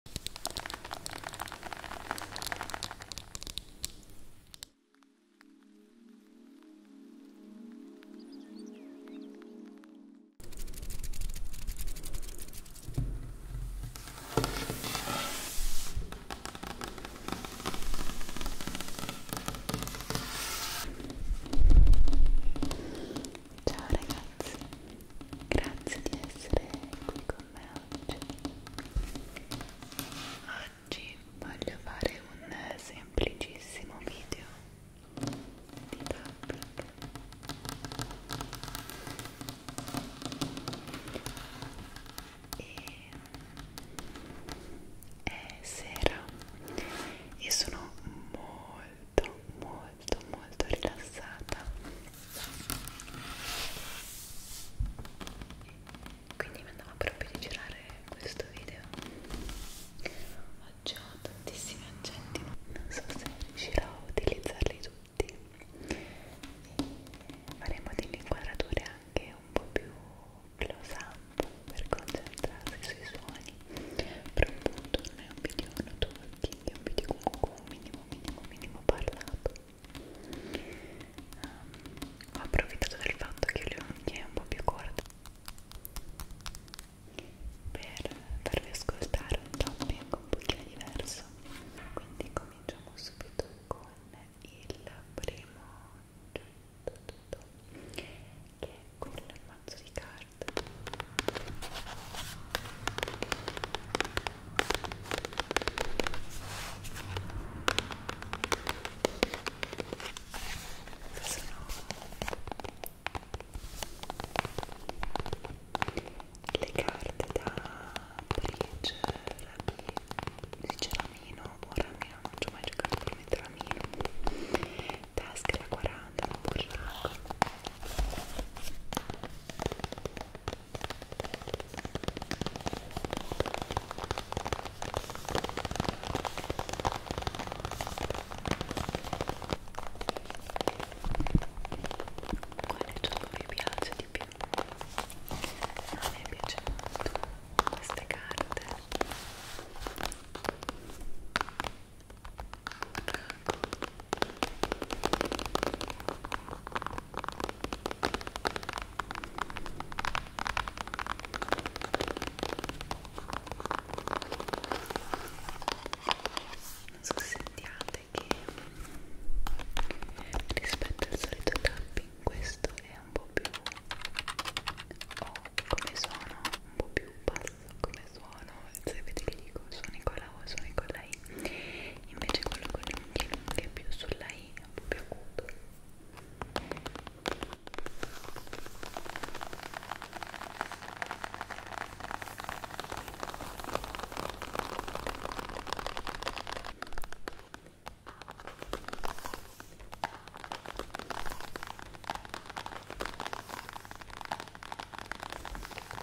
Ciao ragazzi, grazie di essere qui con con me oggi oggi voglio fare un semplicissimo video di tapping e è sera e sono molto molto molto molto rilassata quindi mi andava proprio di girare questo video oggi ho tantissimi oggetti non so se riuscirò a utilizzarli tutti e faremo delle inquadrature anche un po' più close up per concentrarsi sui suoni però appunto non è un video notturno è un video comunque un mini minimo, minimo, minimo parlato. Um, ho approfittato del fatto che le unghie un po' più corte per farvi ascoltare un topic un pochino diverso. Quindi cominciamo subito con il primo oggetto che è quello del mazzo di carte parte Forse no le carte da bridge, rami, dice ramino, o ramino, non ci ho mai giocato per mettere ramino tasca la 40, burraco quale gioco vi piace di più? A me piace molto queste carte non so se sentiate che rispetto al solito tapping questo è un po' più o oh, come suono un po' più basso come suono sapete che dico suoni con la O suoni con la I invece quello con le unghie lunghe più sulla I è un po' più acuto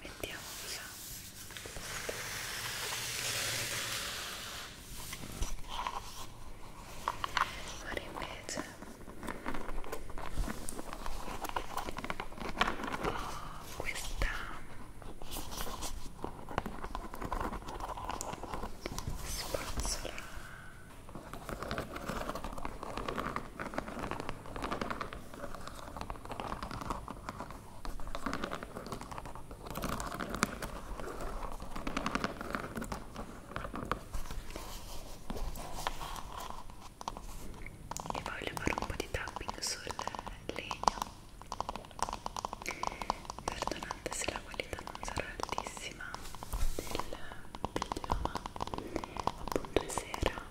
Mettiamo qua. Ora invece ho questa spazzola e voglio fare un po' di tapping sul legno perdonate se la qualità non sarà altissima del video ma appunto è sera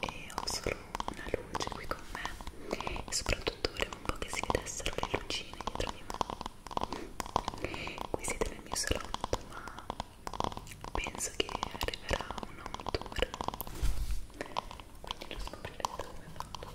e ho solo una luce qui con me e soprattutto volevo un po' che si vedessero le lucine dietro di me qui siete nel mio salotto ma penso che arriverà un home tour quindi lo scoprirete come fatto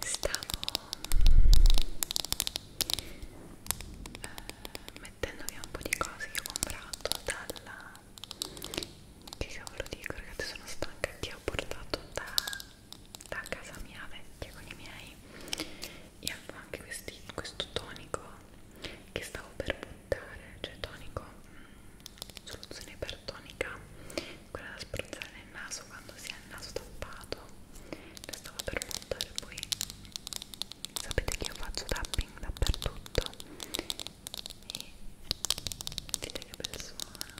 Stavo eh, mettendo via un po' di cose che ho comprato dalla... che cavolo dico ragazzi sono stanca che ho portato da, da casa mia vecchia con i miei e avevo anche questi, questo tonico che stavo per buttare aspettare, cioè tonico, mm, soluzione ipertonica, quella da spruzzare nel naso quando si ha il naso tappato, la stavo per montare poi, sapete che io faccio tapping dappertutto e sentite che bel suono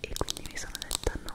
e quindi mi sono detta no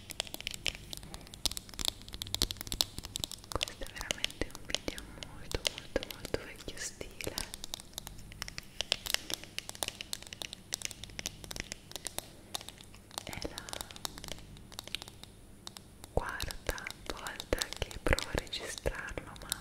questo è veramente un video molto molto molto vecchio stile è la quarta volta che provo a registrarlo ma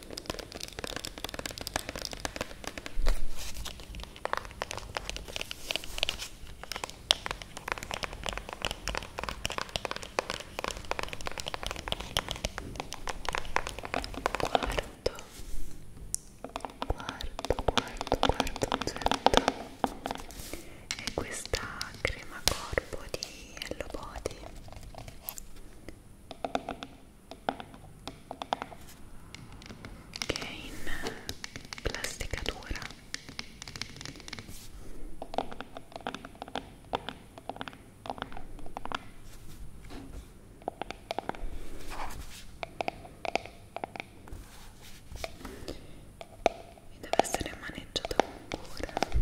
Quarto, quarto, quarto, quarto, certo. E questa crema corpo di Hello Body che è in plastica dura e deve essere maneggiato con cura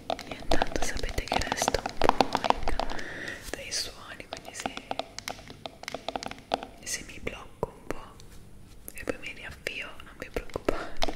e intanto sapete che resto un po' in, dai suoni quindi se, se mi blocco un po' e poi mi riavvio non vi preoccupate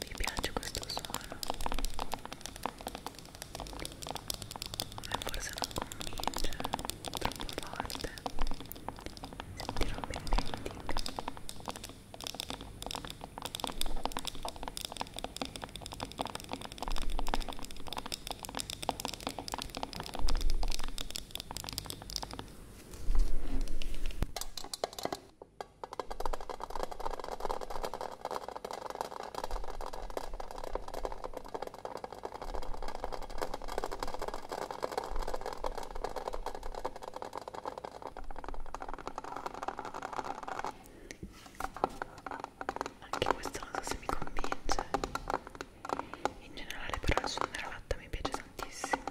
vi piace questo suono? Ma forse non convince troppo forte sentirò un bending anche questo non so se mi convince. In generale però il suono della latta mi piace tantissimo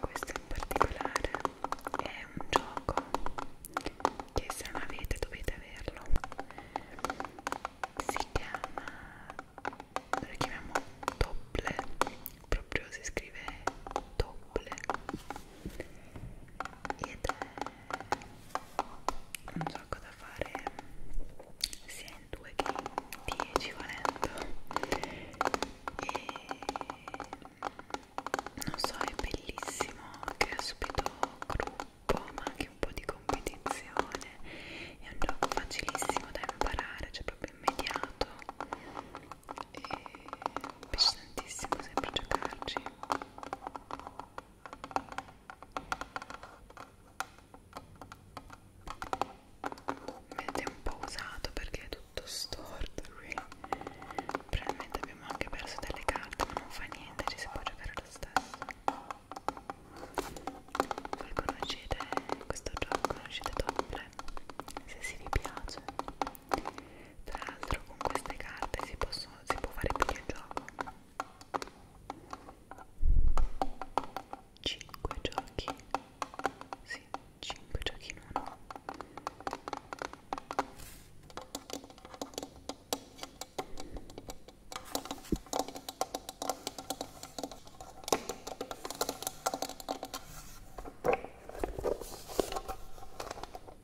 questo in particolare è un gioco che se non avete dovete averlo si chiama lo chiamiamo Topple proprio si scrive Topple ed è un gioco da fare sia in 2 che in 10 volendo e non so è bellissimo che ha subito gruppo ma anche un po' di competizione è un gioco facilissimo da imparare cioè proprio immediato e piace tantissimo sempre giocarci vedete un po' usato perché è tutto storto qui probabilmente abbiamo anche perso delle carte ma non fa niente ci si può giocare lo stesso voi conoscete questo gioco conoscete Doppler se si vi piace tra l'altro con queste carte si, possono, si può fare più di un gioco 5 giochi Sì, 5 giochi in uno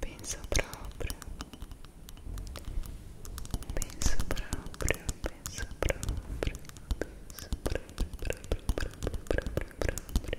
Penso proprio, penso proprio, penso proprio, penso proprio, proprio, proprio, proprio, proprio.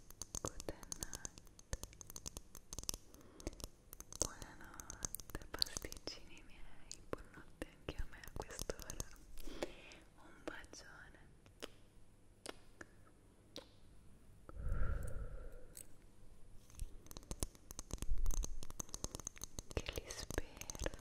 buonanotte pasticcini miei, buonanotte anche a me a quest'ora un bacione che li spero